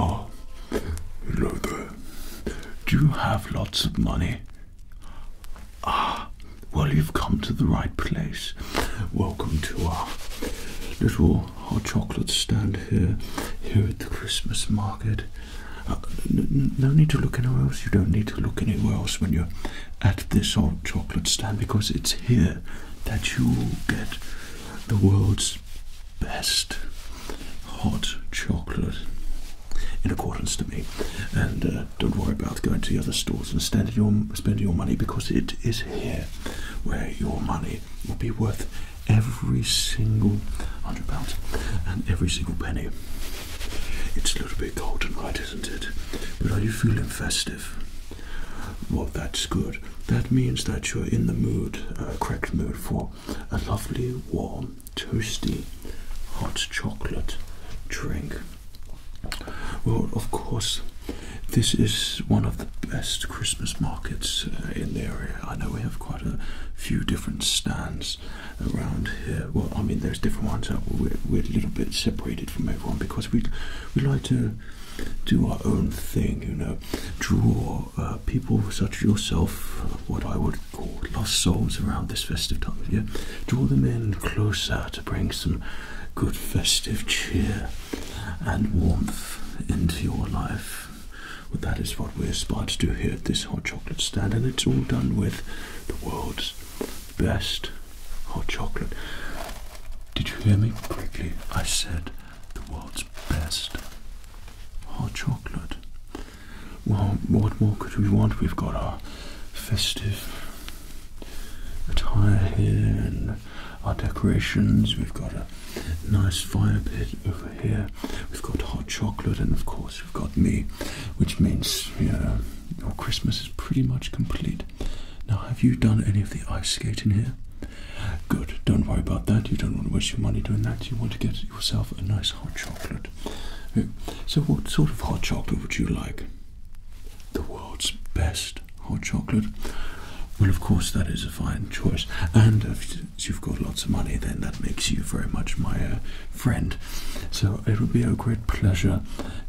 Oh, hello there. Do you have lots of money? Ah, well, you've come to the right place. Welcome to our little hot chocolate stand here, here at the Christmas market. Uh, no need to look anywhere else. You don't need to look anywhere else when you're at this hot chocolate stand because it's here that you get the world's best hot chocolate in accordance to me. And uh, don't worry about going to the other stores and spending your, spending your money because it is here where your money will be worth every single hundred pounds and every single penny. It's a little bit cold tonight, isn't it? But are you feeling festive? Well, that's good. That means that you're in the mood, uh, correct mood, for a lovely, warm, toasty, hot chocolate drink. Well, of course, this is one of the best Christmas markets uh, in the area. I know we have quite a few different stands around here. Well, I mean, there's different ones. we're, a little bit separated from everyone because we we like to do our own thing, you know, draw uh, people such as yourself, what I would call lost souls around this festive time of year, draw them in closer to bring some good festive cheer and warmth into your life. Well, that is what we aspire to do here at this hot chocolate stand, and it's all done with the world's best hot chocolate. Did you hear me correctly? I said the world's best hot chocolate. Well, what more could we want? We've got our festive attire here and our decorations. We've got a nice fire pit over here. We've got hot chocolate, and of course, we've got me, which means you your Christmas is pretty much complete. Now, have you done any of the ice skating here? Good, don't worry about that. You don't want to waste your money doing that. You want to get yourself a nice hot chocolate. So, what sort of hot chocolate would you like? the world's best hot chocolate. Well, of course, that is a fine choice. And if you've got lots of money, then that makes you very much my uh, friend. So it would be a great pleasure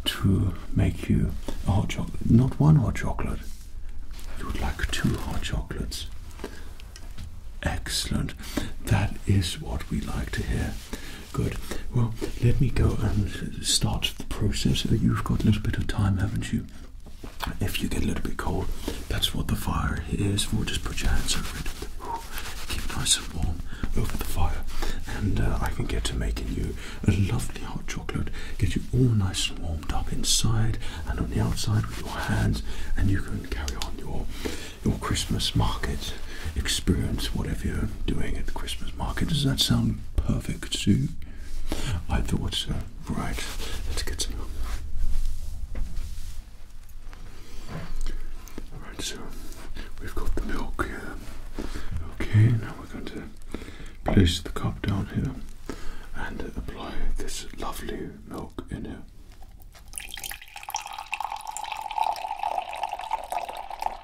to make you a hot chocolate. Not one hot chocolate. You would like two hot chocolates. Excellent. That is what we like to hear. Good. Well, let me go and start the process. Uh, you've got a little bit of time, haven't you? If you get a little bit cold, that's what the fire is for. Just put your hands over it. Keep nice and warm over the fire, and uh, I can get to making you a lovely hot chocolate. Get you all nice and warmed up inside and on the outside with your hands, and you can carry on your your Christmas market experience whatever you're doing at the Christmas market. Does that sound perfect Sue? I thought so. Right, let's get some. Alright, so we've got the milk here. Okay, now we're going to place the cup down here and apply this lovely milk in here.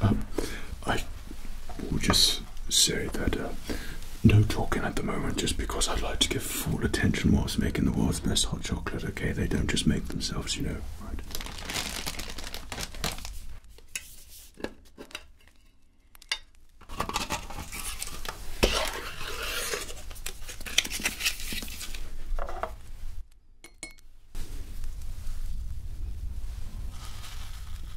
Um, I will just say that uh, no talking at the moment just because I'd like to give full attention whilst making the world's best hot chocolate, okay? They don't just make themselves, you know, right?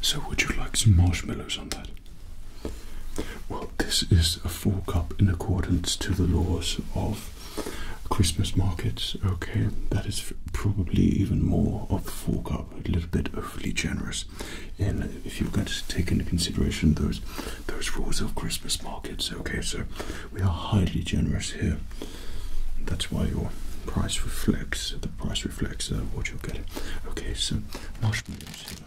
So, would you like some marshmallows on that? Well, this is a full cup in accordance to the laws of Christmas markets. Okay, that is probably even more of a full cup, a little bit overly generous. And if you have got to take into consideration those those rules of Christmas markets, okay, sir. We are highly generous here. That's why your price reflects the price reflects uh, what you'll get. Okay, so marshmallows here.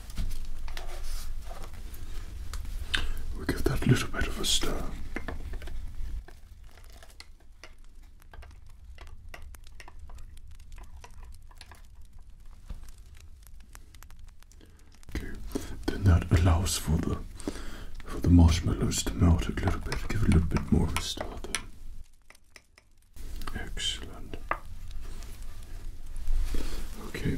we give that a little bit of a stir. Okay, then that allows for the for the marshmallows to melt a little bit, give it a little bit more of a stir. Then. Excellent. Okay.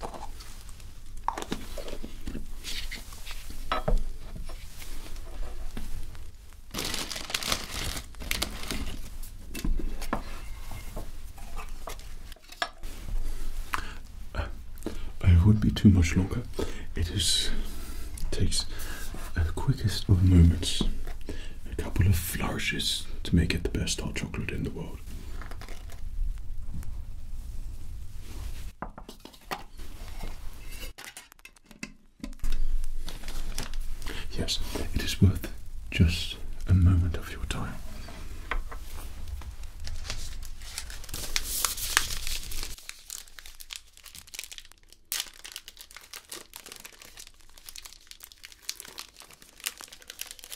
I uh, it would be too much longer. It is takes uh, the quickest of moments, a couple of flourishes to make it the best hot chocolate in the world. Yes, it is worth just a moment of your time.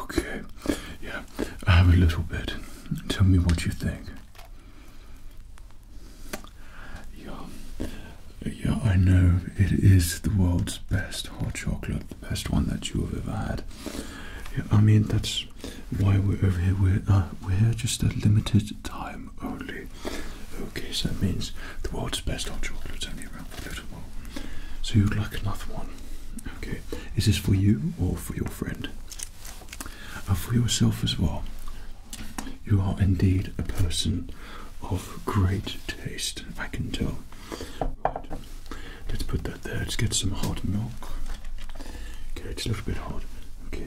Okay, yeah, I have a little bit. Tell me what you think. Yeah, yeah, I know it is the world's best hot chocolate, the best one that you have ever had. Yeah, I mean, that's why we're over here. We're, uh, we're here just a limited time only. Okay, so that means the world's best hot chocolate's only around for a So you'd like another one. Okay, is this for you or for your friend? Uh, for yourself as well. You are indeed a person of great taste, I can tell. Right. Let's put that there. Let's get some hot milk. Okay, it's a little bit hot. Okay.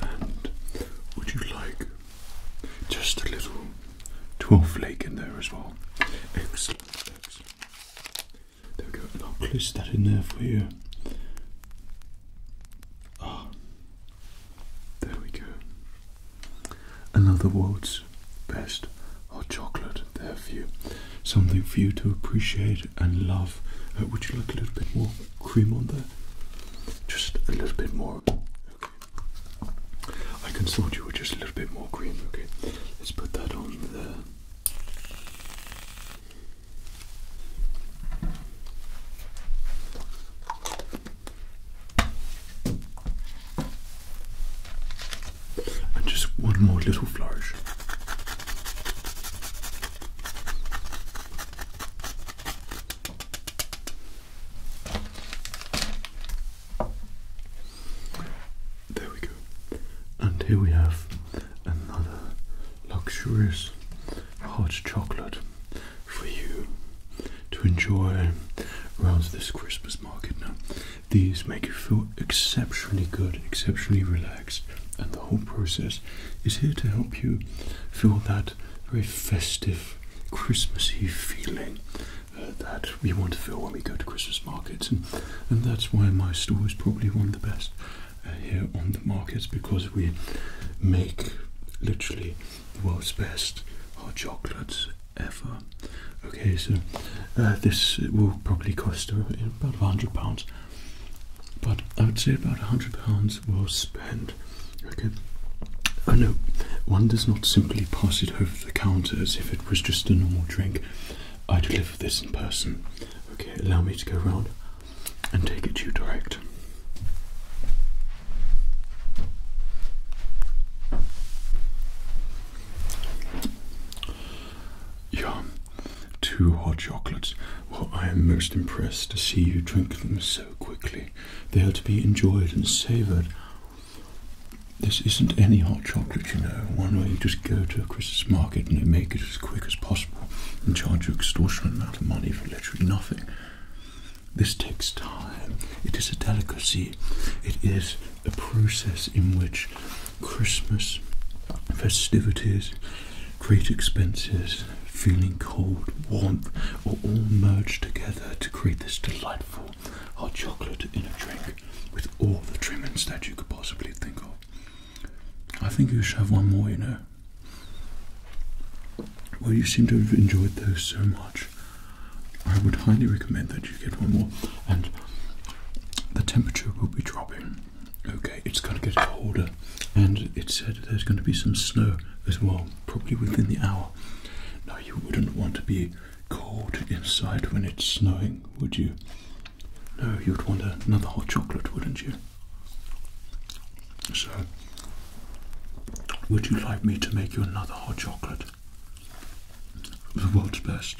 And would you like just a little twelve in there as well? Excellent, There we go, I'll place that in there for you. Ah, there we go. Another world's best hot chocolate there for you. Something for you to appreciate and love. Uh, would you like a little bit more cream on there? Just a little bit more. Okay. I consult you with just a little bit more cream, okay? Let's put that on there. And just one more little flourish. There we go. And here we have another luxurious hot chocolate for you to enjoy around this Christmas market now. These make you feel exceptionally good, exceptionally relaxed, and the whole process is here to help you feel that very festive, Christmassy feeling uh, that we want to feel when we go to Christmas markets, and, that's why my store is probably one of the best uh, here on the markets because we make literally the world's best hot chocolates Okay, so uh, this will probably cost about £100, but I would say about £100 was spent. Okay, I oh, know one does not simply pass it over the counter as if it was just a normal drink. I deliver this in person. Okay, allow me to go round and take it to you direct. Yum, two hot chocolates. Well, I am most impressed to see you drink them so quickly. They are to be enjoyed and savoured. This isn't any hot chocolate, you know, one where you just go to a Christmas market and you make it as quick as possible and charge an extortionate amount of money for literally nothing. This takes time. It is a delicacy. It is a process in which Christmas festivities, great expenses, feeling cold, warmth are all merged together to create this delightful hot chocolate in a drink with all the trimmings that you could possibly think of. I think you should have one more, you know. Well, you seem to have enjoyed those so much. I would highly recommend that you get one more. And the temperature will be dropping. Okay, it's going to get colder, and it said there's going to be some snow as well, probably within the hour. Now, you wouldn't want to be cold inside when it's snowing, would you? No, you'd want another hot chocolate, wouldn't you? So, would you like me to make you another hot chocolate? the world's best.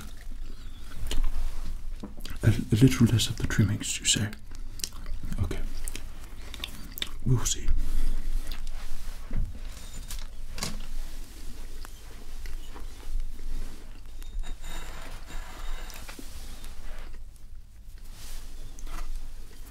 a little less of the trimmings, you say? Okay. We'll see.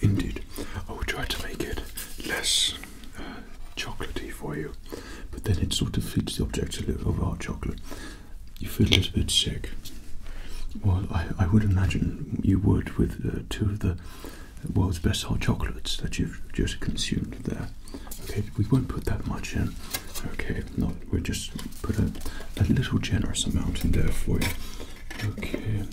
Indeed, I will try to make it less uh, chocolatey for you, but then it sort of fits the objective of our chocolate. You feel a little bit sick. Well, I, would imagine you would with uh, two of the world's best hot chocolates that you've just consumed there. Okay, we won't put that much in. Okay, not we'll just put a, little generous amount in there for you. Okay.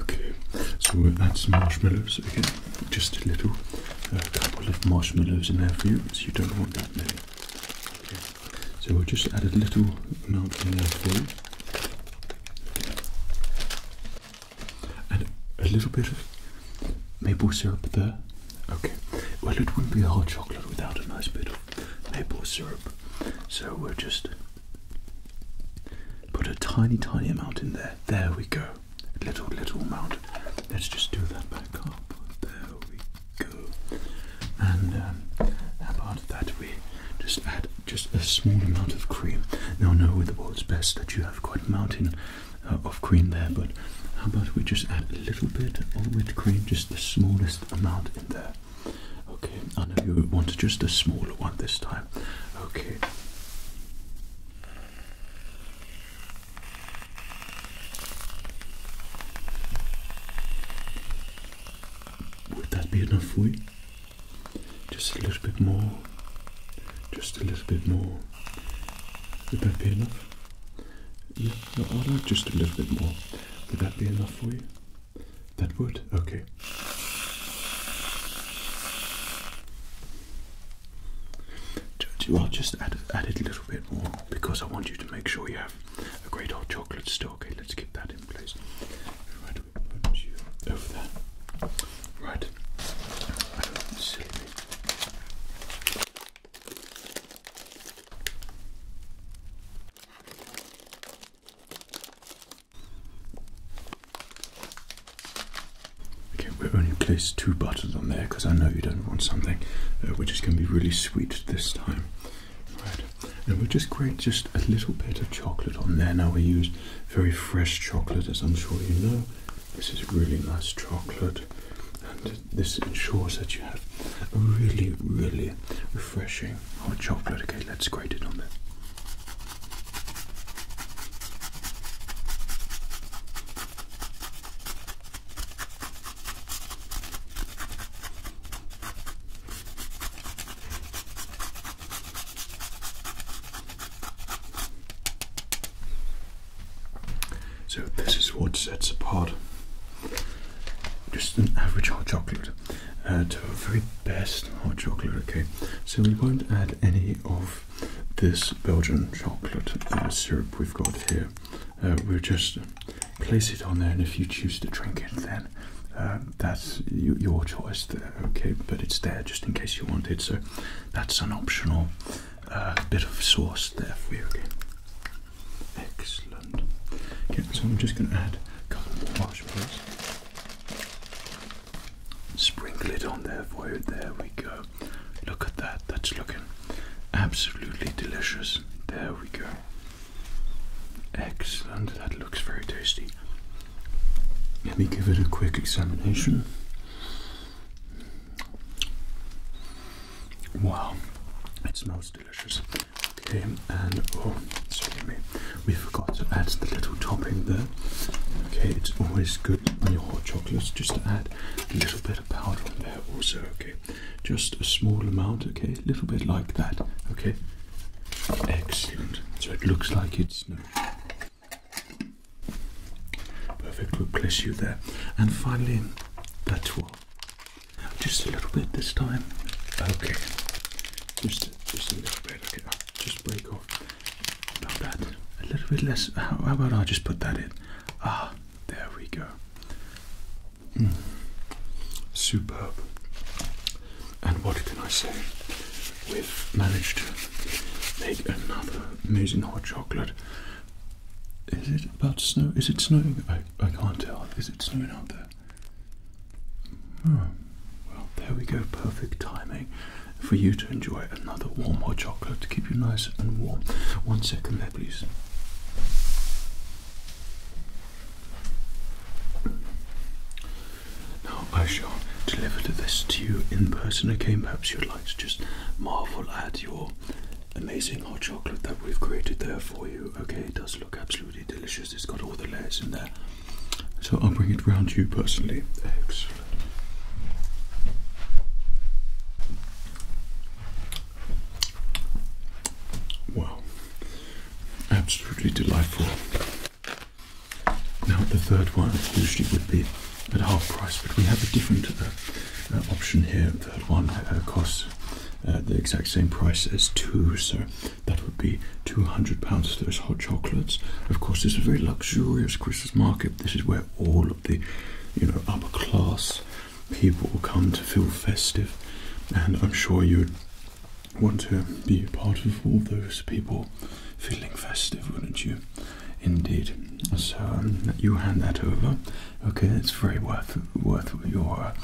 Okay, so we'll add some marshmallows again, just a little, a uh, couple of marshmallows in there for you, so you don't want that many. Okay. So we'll just add a little amount in there for you. And a little bit of maple syrup there. Okay, well it wouldn't be a hot chocolate without a nice bit of maple syrup. So we'll just put a tiny, tiny amount in there. There we go. little, little amount. Let's just do that back up. There we go. And um, about that, we just add just a small amount of cream. Now, I know with the world's best that you have quite a mountain uh, of cream there, but how about we just add a little bit of whipped cream, just the smallest amount in there. Okay, I know you want just a smaller one this time. Okay. Would that be enough for you? Just a little bit more. Just a little bit more. Would that be enough? Yeah, I'd like just a little bit more. Would that be enough for you? That would? Okay. I'll just add, add it a little bit more because I want you to make sure you have a great hot chocolate still. Okay, let's keep that in place. Right, over there. Right. do Okay, we we only place two buttons on there because I know you don't want something uh, which is going to be really sweet this time. Right, and we'll just grate just a little bit of chocolate on there. Now we use very fresh chocolate, as I'm sure you know. This is really nice chocolate, and this ensures that you have a really, really refreshing okay, oh, chocolate. Okay, let's grate it on there. So, this is what sets apart just an average hot chocolate uh, to our very best hot chocolate, okay? So we won't add any of this Belgian chocolate uh, syrup we've got here. Uh, we'll just place it on there, and if you choose to drink it, then that's your choice there, okay? But it's there just in case you want it, so that's an optional bit of sauce there for you, okay? Excellent. Okay, so I'm just going to add a couple of marshmallows. Sprinkle it on there for you. There we go. Look at that. That's looking absolutely delicious. There we go. Excellent. That looks very tasty. Let me give it a quick examination. Wow, it smells delicious. Okay, and oh, excuse me, we forgot to add the little topping there. Okay, it's always good on your hot chocolates just to add a little bit of powder on there, also. Okay, just a small amount. Okay, a little bit like that. Okay, excellent. So it looks like it's Perfect, we'll place you there. And finally, that one. Just a little bit this time. Okay. Just, just a little bit. Okay. just break off. Not that. A little bit less. How, about I just put that in? Ah, there we go. Mm. Superb. And what can I say? We've managed to make another amazing hot chocolate. Is it about snow? Is it snowing? I, I can't tell. Is it snowing out there? there. Hmm. well, there we go. Perfect timing for you to enjoy another warm hot chocolate to keep you nice and warm. One second there, please. Now, I shall deliver this to you in person Okay, Perhaps you'd like to just marvel at your amazing hot chocolate that we've created there for you. Okay, it does look absolutely delicious. It's got all the layers in there. So I'll bring it round to you personally. Excellent. Wow. Absolutely delightful. Now the third one usually would be at half price, but we have a different uh, uh, option here. Third one uh, costs uh, the exact same price as two, so that would be £200 for those hot chocolates. Of course, it's a very luxurious Christmas market. This is where all of the you know, upper class people come to feel festive, and I'm sure you'd want to be a part of all those people feeling festive, wouldn't you? Indeed. So um, you hand that over. Okay, it's very worth worth your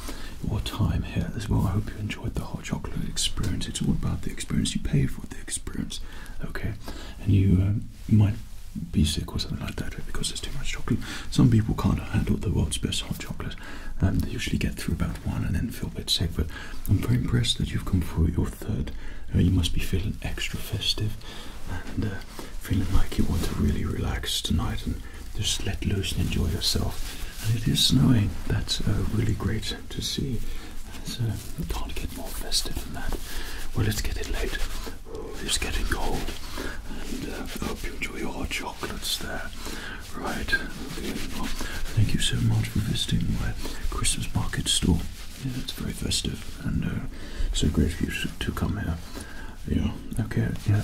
your time here as well. I hope you enjoyed the hot chocolate experience. It's all about the experience. You pay for the experience, okay? And you, um, you might be sick or something like that because there's too much chocolate. Some people can't handle the world's best hot chocolate. Um, they usually get through about one and then feel a bit sick. But I'm very impressed that you've come for your third. Uh, you must be feeling extra festive and uh, feeling like you want to really relax tonight just let loose and enjoy yourself. And it is snowing. That's uh, really great to see. So uh, we can get more festive than that. Well, let's get it late. It's getting cold. And uh, I hope you enjoy your chocolates there. Right. thank you so much for visiting my Christmas market store. Yeah, it's very festive and uh, so great of you to come here. Yeah. Okay. Yeah.